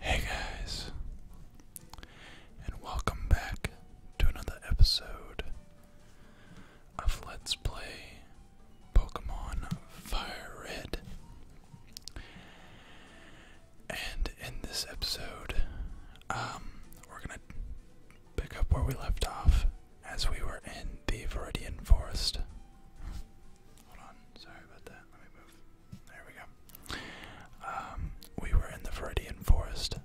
Hey guys, and welcome back to another episode of Let's Play Pokemon Fire Red. And in this episode, um, we're gonna pick up where we left off as we were in the Viridian Forest. Hold on, sorry about that. There we go. Um, we were in the Veridian Forest.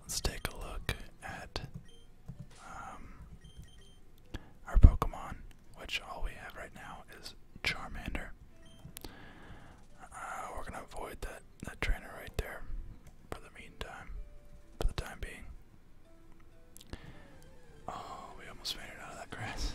Let's take a look at um, our Pokemon, which all we have right now is Charmander. Uh, we're gonna avoid that that trainer right there for the meantime, for the time being. Oh, we almost made it out of that grass.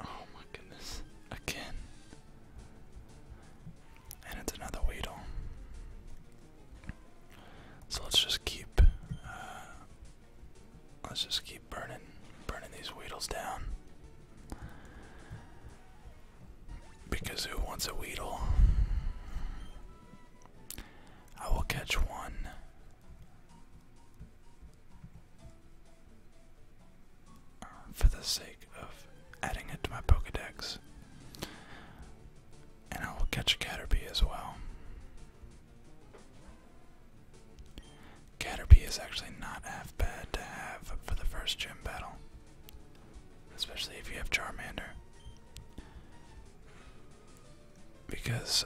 Oh my goodness. Again. And it's another Weedle. So let's just keep uh, let's just keep burning burning these Weedles down. Because who wants a Weedle? I will catch one. For the sake of adding it to my Pokedex. And I will catch a Caterpie as well. Caterpie is actually not half bad to have for the first gym battle. Especially if you have Charmander because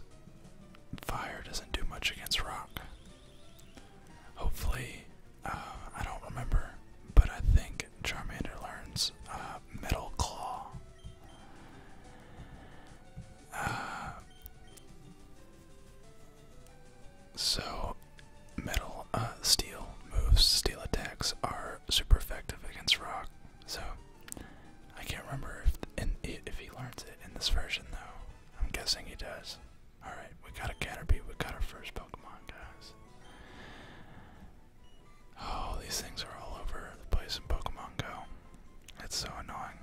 fire doesn't do much against rock. Hopefully, uh, I don't remember, but I think Charmander learns uh, Metal Claw. Uh, so, metal, uh, steel moves, steel attacks are super effective against rock. So, I can't remember if if he learns it in this version though. I'm guessing he does. All right, we got a Caterpie. We got our first Pokemon, guys. Oh, these things are all over the place in Pokemon Go. It's so annoying.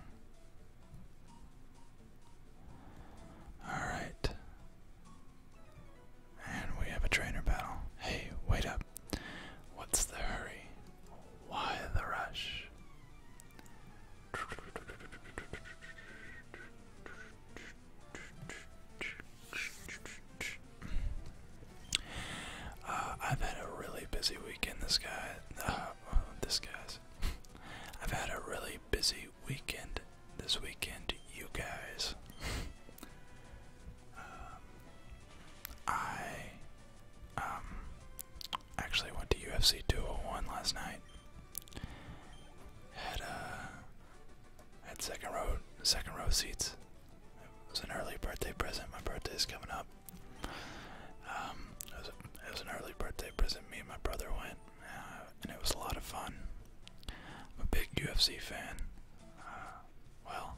All right. And we have a trainer battle. Hey, wait up. What's the hurry? Why the rush? Uh, I've had a really busy weekend. This guy, uh, this guy's. I've had a really busy weekend. This weekend, you guys. Um, I um, actually went to UFC 201 last night. Had uh had second row second row seats. It was an early birthday present. My birthday is coming up. Um, it was an early birthday present. Me and my brother went, uh, and it was a lot of fun. I'm a big UFC fan. Uh, well,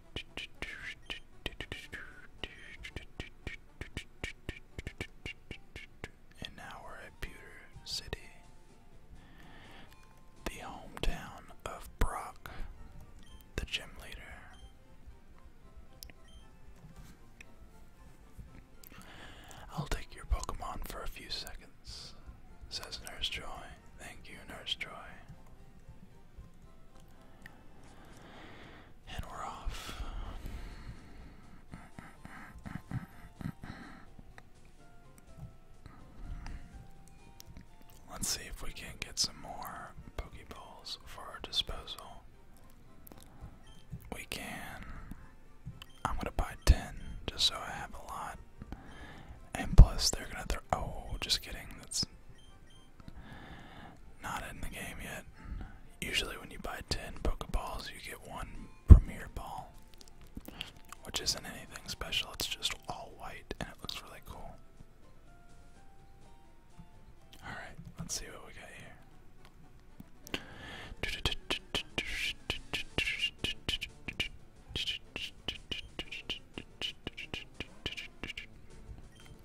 And now we're at Pewter City, the hometown of Brock, the gym leader. I'll take your Pokemon for a few seconds, says Nurse Joy. Thank you, Nurse Joy. And we're off. Let's see if we can get some more Pokeballs for our disposal. We can. I'm gonna buy 10 just so I have a lot. And plus, they're gonna throw. Oh, just kidding. That's not in the game yet. Usually, when you buy 10 Pokeballs, you get one Premier Ball, which isn't anything special, it's just all white and it looks really cool. Alright, let's see what we got here.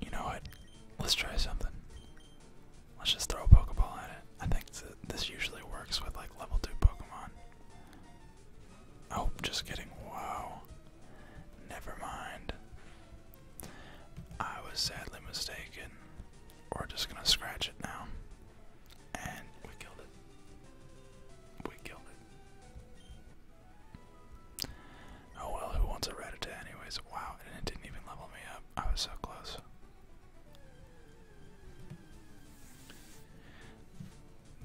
You know what? Let's try something. Let's just throw a Pokeball at it. I think this usually works with like level 2 Pokemon. Oh, just kidding. Wow. Never mind. I was sadly mistaken. We're just gonna scratch it now. And we killed it. We killed it. Oh well, who wants a Rattata anyways? Wow, and it didn't even level me up. I was so close.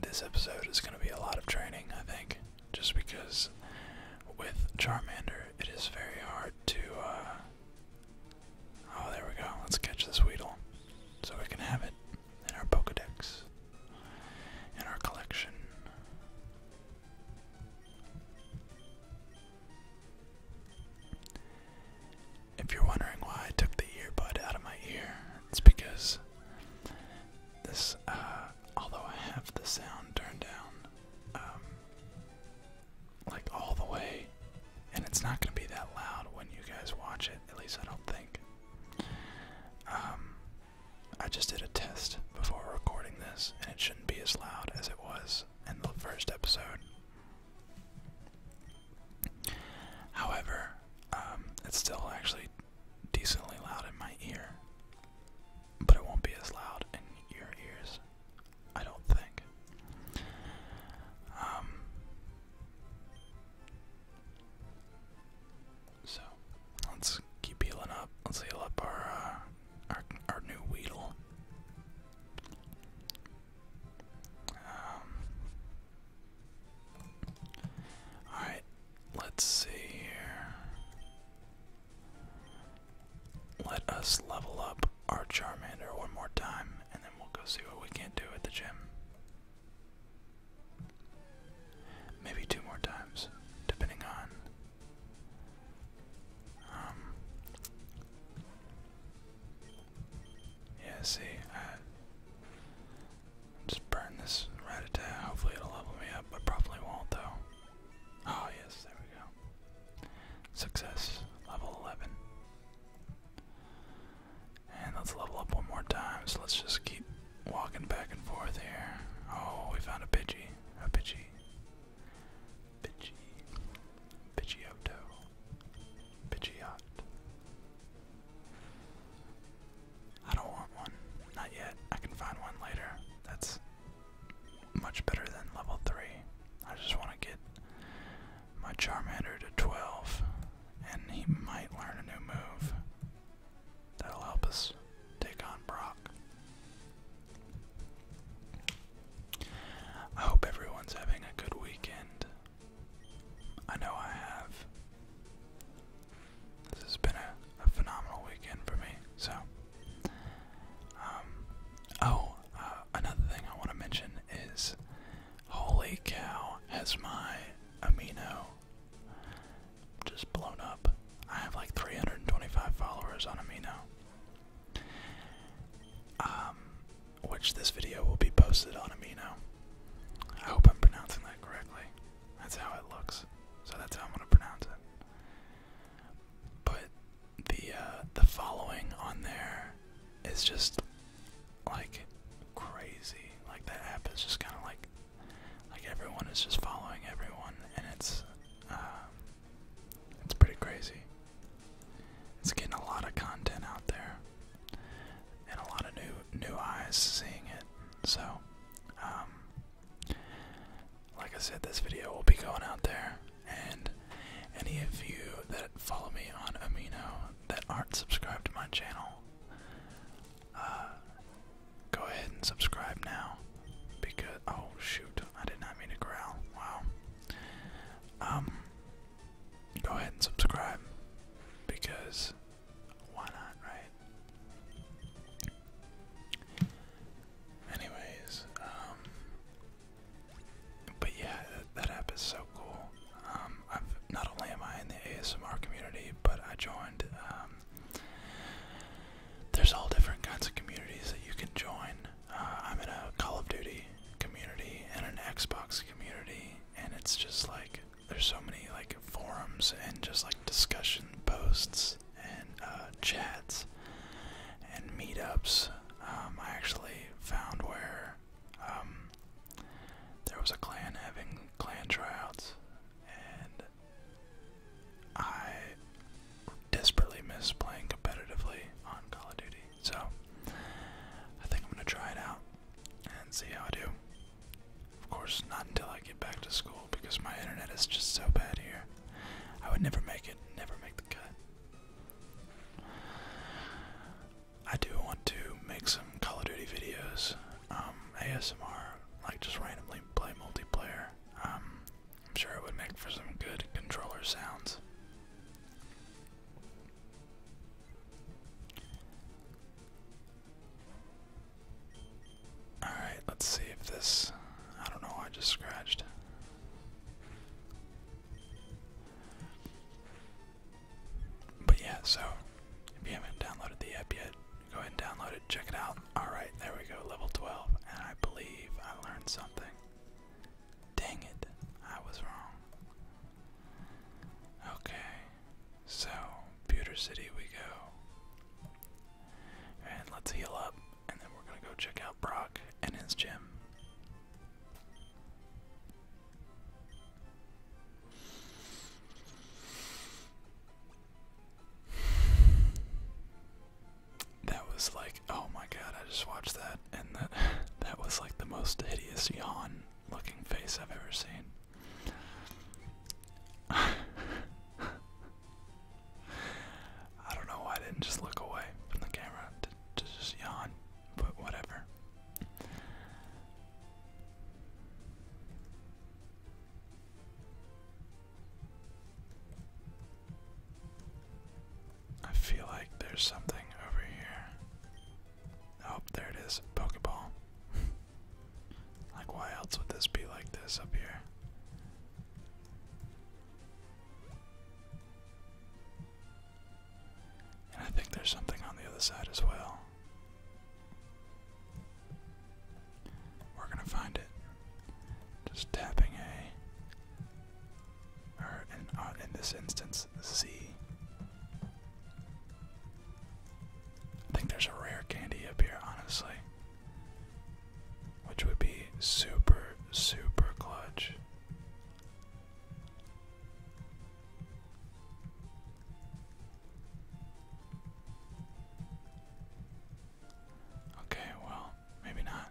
This episode is going to be a lot of training, I think, just because with Charmander it is very hard to. Uh... Oh, there we go. Let's catch this Weedle so we can have it in our Pokedex in our collection. If you're wondering why I took the earbud out of my ear, it's because this, uh, although I have the sound turned down, um, like all the way, and it's not going to be that loud when you guys watch it, at least I don't think. Um, I just did a test before recording this, and it shouldn't be as loud as it was in the first episode. However, um, it's still actually decently loud in my ear, but it won't be as loud in your ears, I don't think. Um, so let's keep healing up. Let's heal up our uh, our new Weedle. Um, all right, let's see here. Let us level up our Charmander one more time, and then we'll go see what we can do at the gym. Maybe two more times, depending on um, Yeah, see, I just burn this right Rattata, hopefully it'll level me up, but probably won't though. Oh yes, there we go. Success, level 11. And let's level up one more time, so let's just keep walking back and forth here. Oh, we found a Pidgey. A Pidgey. Pidgey. Pidgeotto. Pidgeot. I don't want one. Not yet. I can find one later. That's much better than level 3. I just want to get my Charmander to 12, and he might learn a new move. That'll help us take on Brock. I hope everyone's having a good weekend. I know I have. This has been a, phenomenal weekend for me, so. Um, oh, uh, another thing I want to mention is Holy Cow has my Amino just blown up. I have like 325 followers on Amino. now. Um, which this video will be posted on Amino. I hope I'm pronouncing that correctly. That's how it looks. So that's how I'm gonna pronounce it. But the uh, the following on there is just like crazy. Like that app is just kind of like like everyone is just following everyone, and it's uh, it's pretty crazy. It's getting a lot of content out there, and a lot of new new eyes seeing it. So, um, like I said, this video will be going out there, and any of you that follow me on Amino that aren't subscribed to my channel. Uh, go ahead and subscribe now because oh shoot I did not mean to growl wow um go ahead and subscribe because why not right anyways um but yeah that, app is so cool um I've not only am I in the ASMR community but I joined um, there's all different kinds of communities that you can join. Uh, I'm in a Call of Duty community and an Xbox community, and it's just like there's so many like forums and just like discussion posts and uh, chats and meetups. Um, I actually found where um, there was a clan having clan tryouts, and I desperately miss playing competitively on Call of Duty, so I think I'm gonna try it out and see how I do. Of course, not until I get back to school because my internet is just so bad here. I would never make it, never make the cut. I do want to make some Call of Duty videos, um, ASMR, like just randomly play multiplayer. Um, I'm sure it would make for some good controller sounds. Alright, let's see if this. I don't know, I just scratched. But yeah, so if you haven't downloaded the app yet, Go ahead and download it, check it out. Alright, there we go, level 12. And I believe I learned something. Dang it, I was wrong. Okay, so Pewter City we go. And let's heal up, and then we're gonna go check out Brock and his gym. That was like, oh my god, I just watched that, and that, that was like the most hideous yawn looking face I've ever seen. I don't know why I didn't just look away from the camera to, just yawn, but whatever. I feel like there's something over here. Oh, there it is. Pokeball. like, why else would this be like this up here? And I think there's something on the other side as well. We're gonna find it. Just tapping A, or in, uh, in this instance, Z. I think there's a rare candy up here, honestly, which would be super, super clutch. Okay, well, maybe not.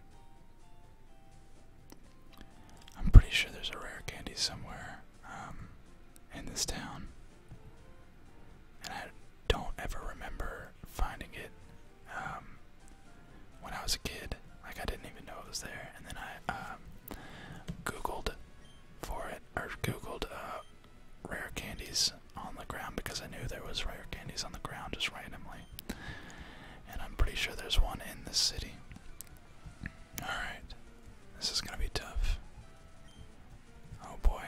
I'm pretty sure there's a rare candy somewhere um, in this town, and I don't ever remember finding it um, when I was a kid. Like I didn't even know it was there, and then I um, Googled for it or Googled uh, rare candies on the ground because I knew there was rare candies on the ground just randomly. And I'm pretty sure there's one in the city. Alright. This is gonna be tough. Oh boy.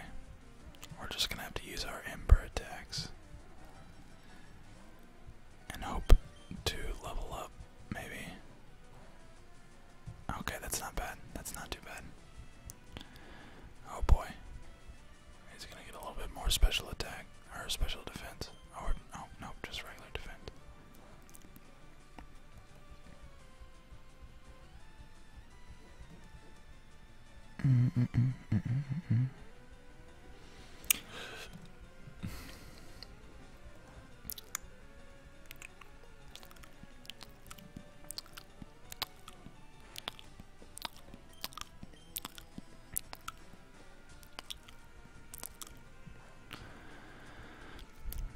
We're just gonna have to use our ember attacks. And hope to level up, maybe. Okay, that's not bad. That's not too bad. Oh boy. He's gonna get a little bit more special attack or special defense. Oh, or no, no, just regular defense.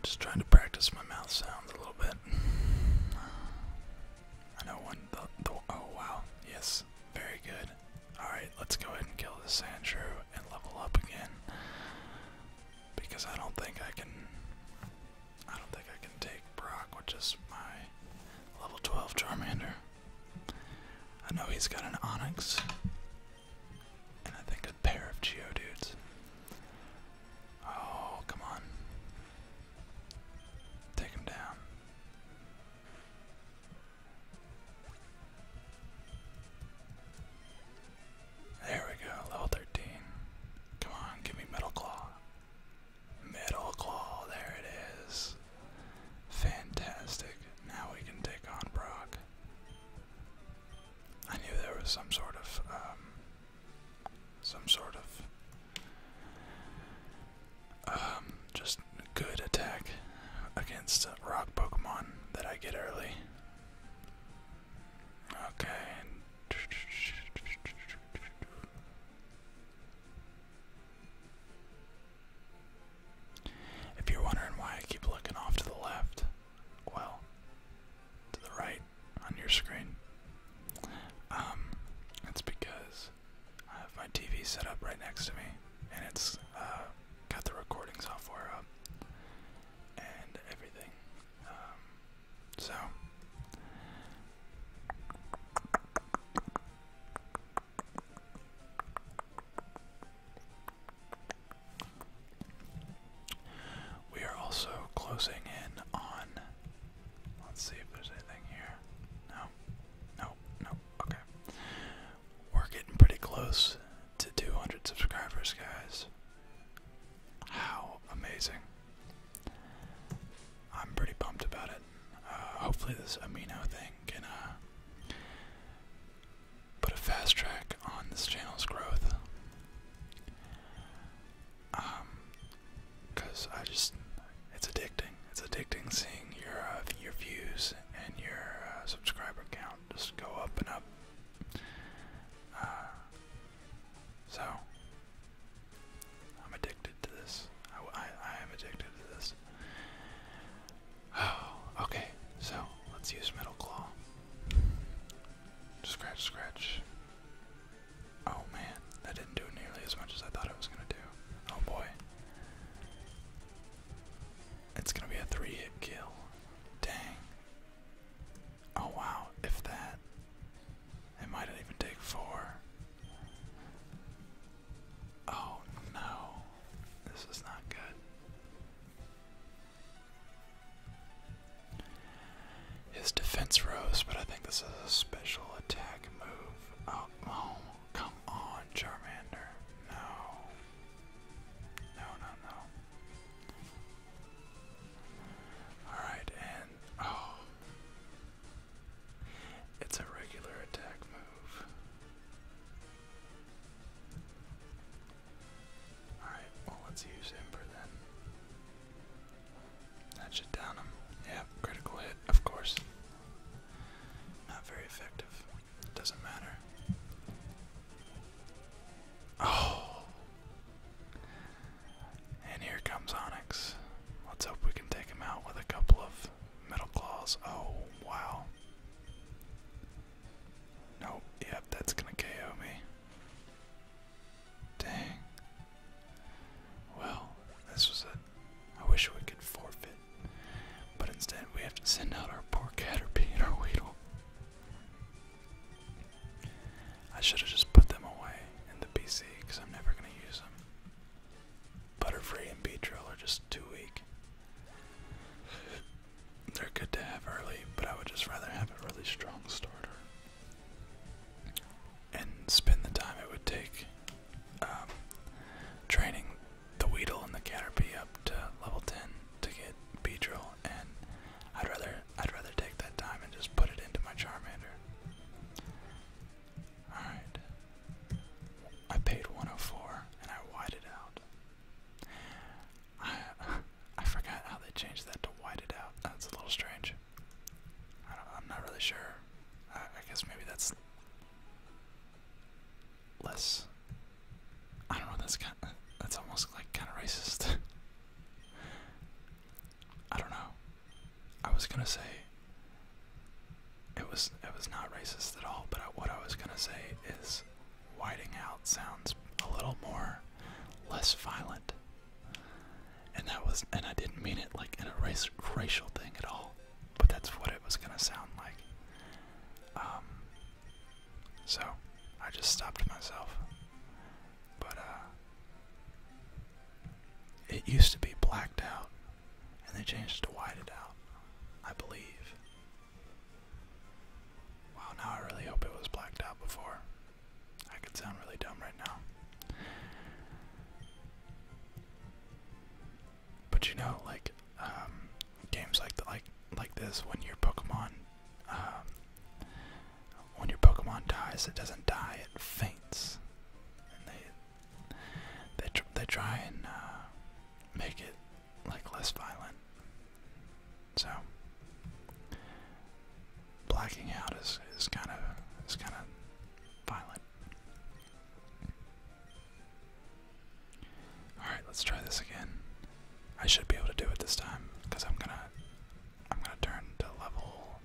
Just trying to practice my mouth sounds a little bit. I know one. oh wow! Yes, very good. All right, let's go ahead and kill this Andrew and level up again because I don't think I can. I don't think I can take Brock, which is my level 12 Charmander. I know he's got an Onyx, and I think a pair of Geodudes. Oh, come on. Take him down. There we go, level 13. Come on, give me Metal Claw. Metal Claw, there it is. Fantastic. Now we can take on Brock. I knew there was some sort of, um, some sort of, um, just good attack against uh, rock Pokemon that I get early. Okay, if you're wondering why I keep looking off to the left, well, to the right on your screen, um, it's because I have my TV set up right next to me, and it's uh, got the recording software up and everything. Um, so, we are also closing in on. Let's see if there's anything here. No, no, no. Okay. We're getting pretty close to 200 subscribers, guys. How amazing! I'm pretty pumped about it. Uh, hopefully, this amino thing can uh, put a fast track on this channel's growth. Um, cause I just, it's addicting. It's addicting seeing your uh, your views and your subscriber count just go up and up. so I'm addicted to this. I, am addicted to this. Oh, okay. So let's use Metal Claw. Scratch, scratch. Oh man, that didn't do nearly as much as I thought it was gonna do. Oh boy. It's gonna be a three hit kill. Dang. Oh wow, if that. It might even take four. Oh no, this is not good. His defense rose, but I think this is a special attack move. oh, oh come on, Charmander. No. No, no, no. Alright, oh, it's a regular attack move. Alright, well, let's use Ember then. That should down him. Yeah, critical hit, of course. Not very effective. Doesn't matter. Oh! And here comes Onyx. Let's hope we can take him out with a couple of metal claws. Oh, wow. Nope, yep, that's gonna KO me. Dang. Well, this was it. I wish we could forfeit. But instead, we have to send out our poor Caterpie and our Weedle. I should have just put them away in the PC because I'm never going to use them. Butterfree and Beatrill are just too weak. They're good to have early, but I would just rather have a really strong starter. And spend the time it would take um, training the Weedle and the Caterpie up to level 10 to get Beedrill, and I'd rather I'd rather take that time and just put it into my Charmander. Alright. I paid 104 and I whited out. I I forgot how they changed that to whited out. That's a little strange. I don't, I'm not really sure. I, guess maybe that's less. I don't know. That's kind. that's almost like kind of racist. I don't know. I was gonna say it was it was not racist at all, but what I was gonna say is whiting out sounds a little more less violent. And that was and I didn't mean it like in a racial thing at all, but that's what it was gonna sound like. Um so I just stopped myself. But uh, it used to be blacked out and they changed to white it out, I believe. Wow, now I really hope it was blacked out before. I could sound really dumb right now. But you know, like, um, games like like like this, when your Pokemon, um, when your Pokemon dies, it doesn't die; it faints, they they try and uh, make it like less violent. So blacking out is is kind of is kind of violent. All right, let's try this again. I should be able to do it this time because I'm gonna I'm gonna turn to level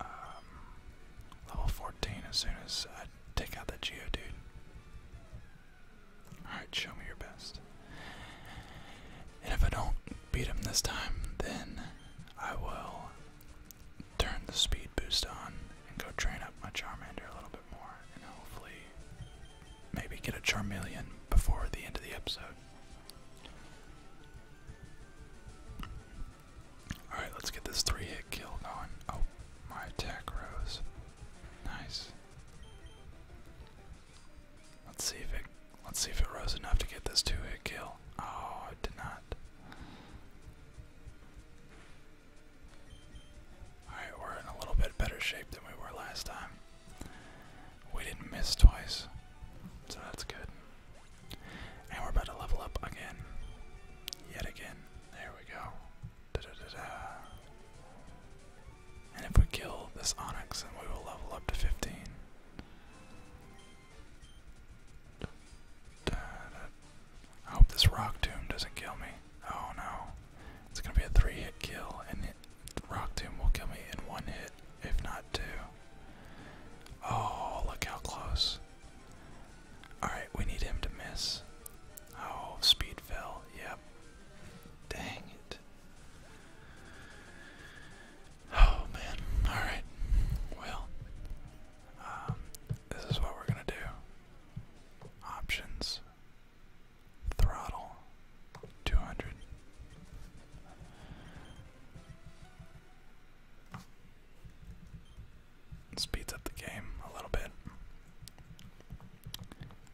um, level 14 as soon as I take out the Geodude. Alright, show me your best. And if I don't beat him this time, then I will turn the speed boost on and go train up my Charmander a little bit more and hopefully maybe get a Charmeleon before the end of the episode. Alright, let's get this three hit kill going. Oh, my attack rose. Nice. Let's see if it let's see if it rose enough to get this two hit kill. Oh, it did not. Alright, we're in a little bit better shape than we were last time. We didn't miss twice. So that's good. And we're about to level up again. Yet again. There we go. And if we kill this Onyx, then we will level up to 15. I hope this Rock Tomb doesn't kill me. Oh no. It's gonna be a three hit kill, and it, Rock Tomb will kill me in one hit, if not two. Oh, look how close. Alright, we need him to miss. Oh, speed fell. Yep. Dang it. Oh, man. Alright. Well, um, this is what we're going to do options, throttle, 200. Speeds up the game a little bit.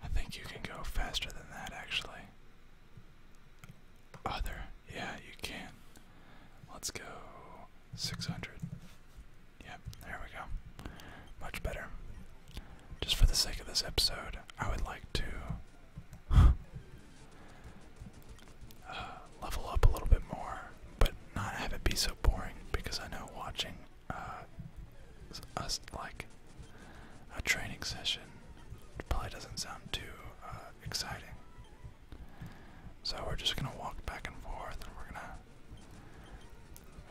I think you can go faster than that actually. Other, yeah, you can. Let's go 600. Yep, there we go. Much better. Just for the sake of this episode, I would like to. Uh, level up a little bit more, but not have it be so boring because I know watching uh, us like a training session probably doesn't sound too uh, exciting. So we're just gonna walk back and forth, we're gonna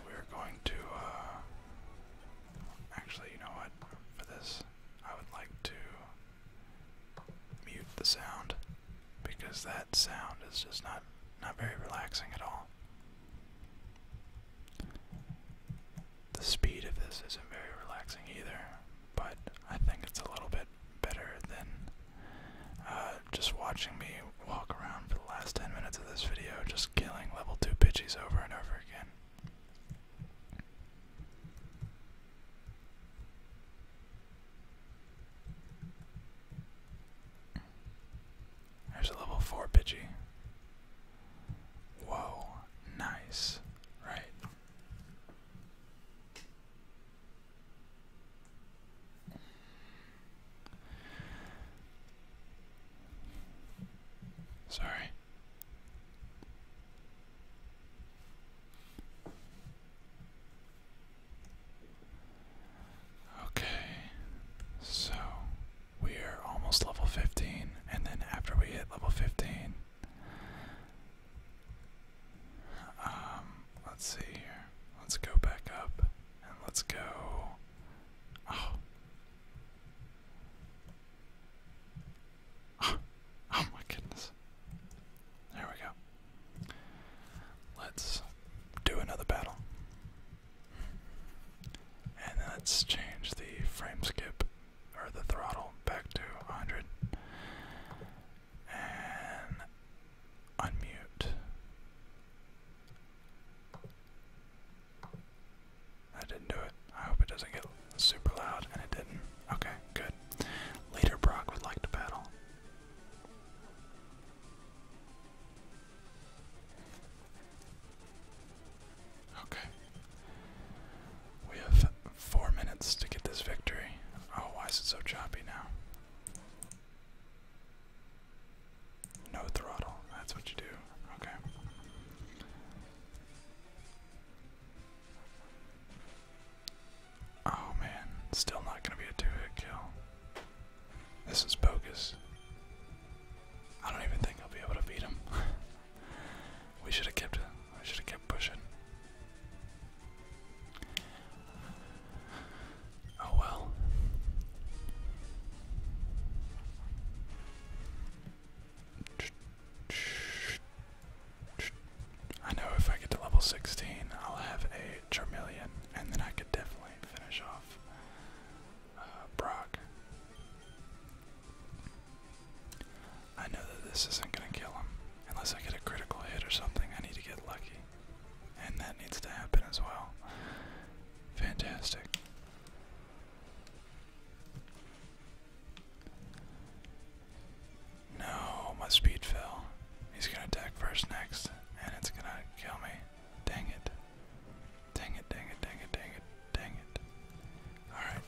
we're going to actually, you know what? For this, I would like to mute the sound because that sound is just not not very relaxing at all. The speed of this isn't very relaxing either, but I think it's a little bit better than uh, just watching me walk around for the last 10 minutes of this video, just killing level 2 pitchies over and over again. There's a level 4 bitchy. Whoa, nice, right? Sorry. Okay, so we are almost level 15, and then after we hit level 15, um, let's see here. Let's go back up and let's go. Oh. oh, my goodness. There we go. Let's do another battle. And let's change the frame skip or the throttle back to 100. And unmute. I didn't do it. I hope it doesn't get super loud, and it didn't. Okay, good. Leader Brock would like to battle. Okay. We have four minutes to get this victory. Oh, why is it so choppy now? No throttle. That's what you do. Okay. Oh man, still not gonna be a two-hit kill. This is bogus. I don't even think I'll be able to beat him. we should have kept I should have kept pushing. Oh well. I know if I get to level 16, I'll have a Charmeleon, and then I could definitely finish off uh, Brock. I know that this isn't going to kill him, unless I get a critical hit or something. I need to get lucky, and that needs to happen as well. Fantastic. No, my speed fell. He's gonna attack first next, and it's gonna kill me. Dang it. Dang it, dang it, dang it, dang it, Alright,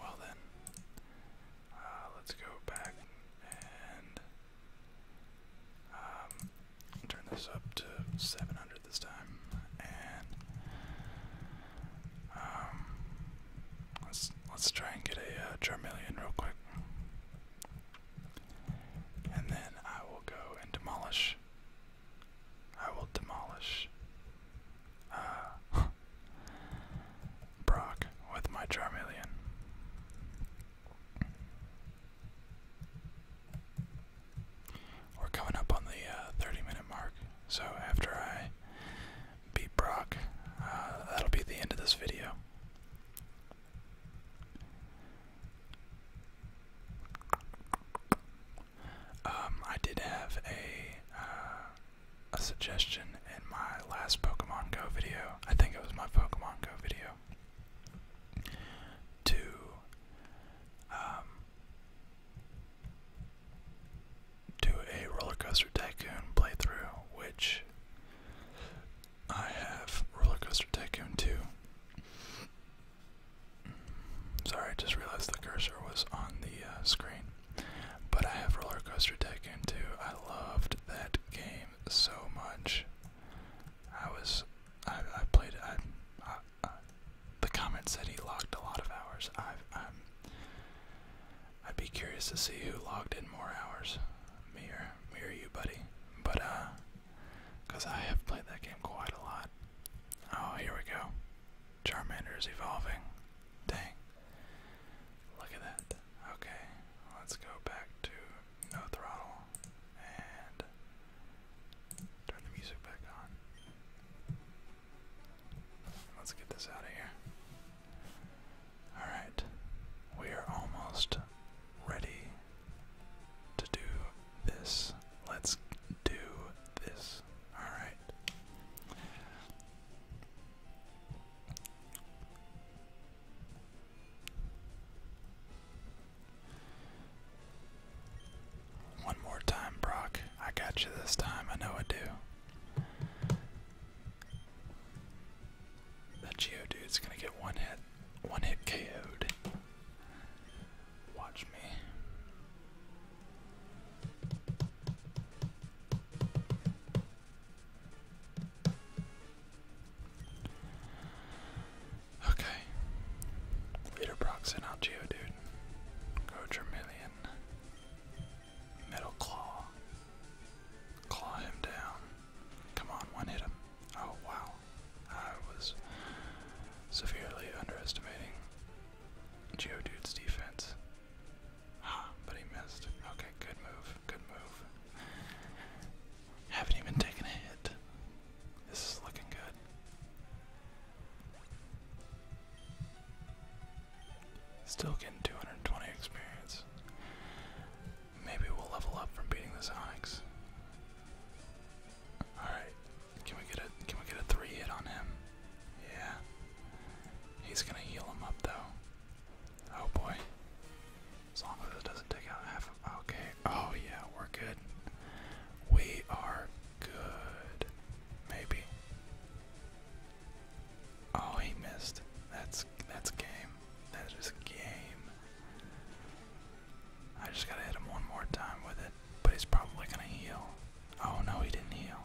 well then. Uh, let's go back and um, turn this up to 700 this time. And um, let's let's try and get a uh, Charmeleon real quick. And then I will go and demolish. I will demolish uh, Brock with my Charmeleon. We're coming up on the uh, 30 minute mark, so after I beat Brock, uh, that'll be the end of this video. Um, I did have a uh, a suggestion in my last Pokemon Go video. I think it was my Pokemon Go video. To um, do a roller coaster tycoon playthrough, which I have Roller Coaster Tycoon 2. Sorry, I just realized the cursor was on the uh, screen. But I have Roller Coaster Tycoon 2. I loved that game so much. I was, I, I played. I, I, I, the comment said he logged a lot of hours. I, I'm, I'd be curious to see who logged in more hours, me or me or you, buddy. But uh, cause I have played that game quite a lot. Oh, here we go. Charmander is evolving. Dang. Look at that. Okay, let's go back to no throttle and turn the music back on. Let's get this out of here. Alright, we are almost ready to do this. Let's do this. Alright. One more time, Brock. I got you this time. I know I do. That Geo dude's gonna get one hit, one hit KO'd. Watch me. Okay. Leader Proxen out Geodude. Go Charmeleon. Metal Claw. Claw him down. Come on, one hit him. Oh, wow. I was severely underestimating Geodude's defense. Ah, but he missed. Okay, good move. Good move. Haven't even taken a hit. This is looking good. Still getting 220 experience. Maybe we'll level up from beating this Onyx. Alright. Can we get a can we get a three hit on him? Yeah. He's gonna heal him up though. Oh boy. As long as it doesn't take out half of okay. Oh yeah, we're good. We are good. Maybe. Oh he missed. That's that's game. That is game. I just gotta hit him one more time with it, but he's probably gonna heal. Oh no, he didn't heal.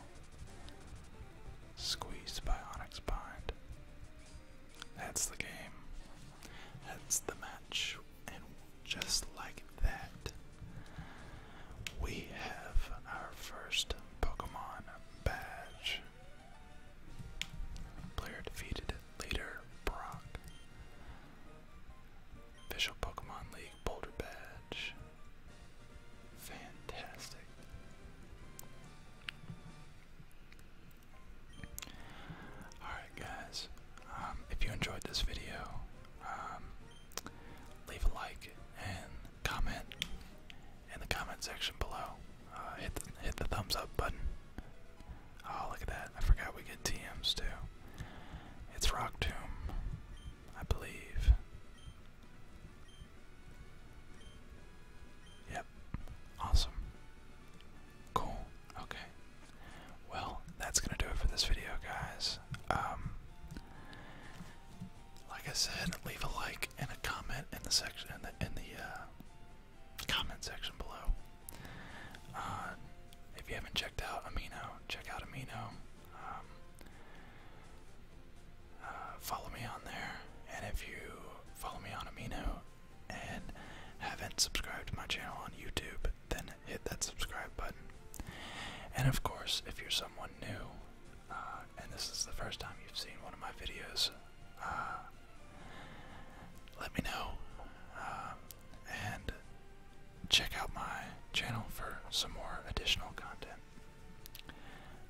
Squeezed by Bind. That's the game. That's the match. And just like that, we have our first Pokemon badge match. Player defeated leader Brock. Official Pokemon League Boulder Badge. Fantastic. Alright, guys. Um, if you enjoyed this video, um, leave a like and comment in the comment section below. Uh, hit the, hit the thumbs up button. Oh, look at that! I forgot we get TMs too. It's Rock Tomb, I believe. Yep. Awesome. Cool. Okay. Well, that's gonna do it for this video, guys. Um, like I said, leave a like and a comment in the section in the uh, comment section below. Uh, if you haven't checked out Amino, check out Amino. Um, uh, follow me on there, and if you follow me on Amino and haven't subscribed to my channel on YouTube, then hit that subscribe button. And of course, if you're someone new, uh, and this is the first time you've seen one of my videos, let me know uh, and check out my channel for some more additional content.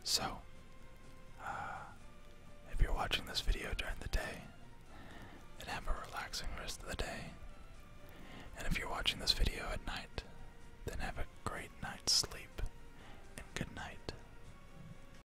So, uh, if you're watching this video during the day, then have a relaxing rest of the day. And if you're watching this video at night, then have a great night's sleep and good night.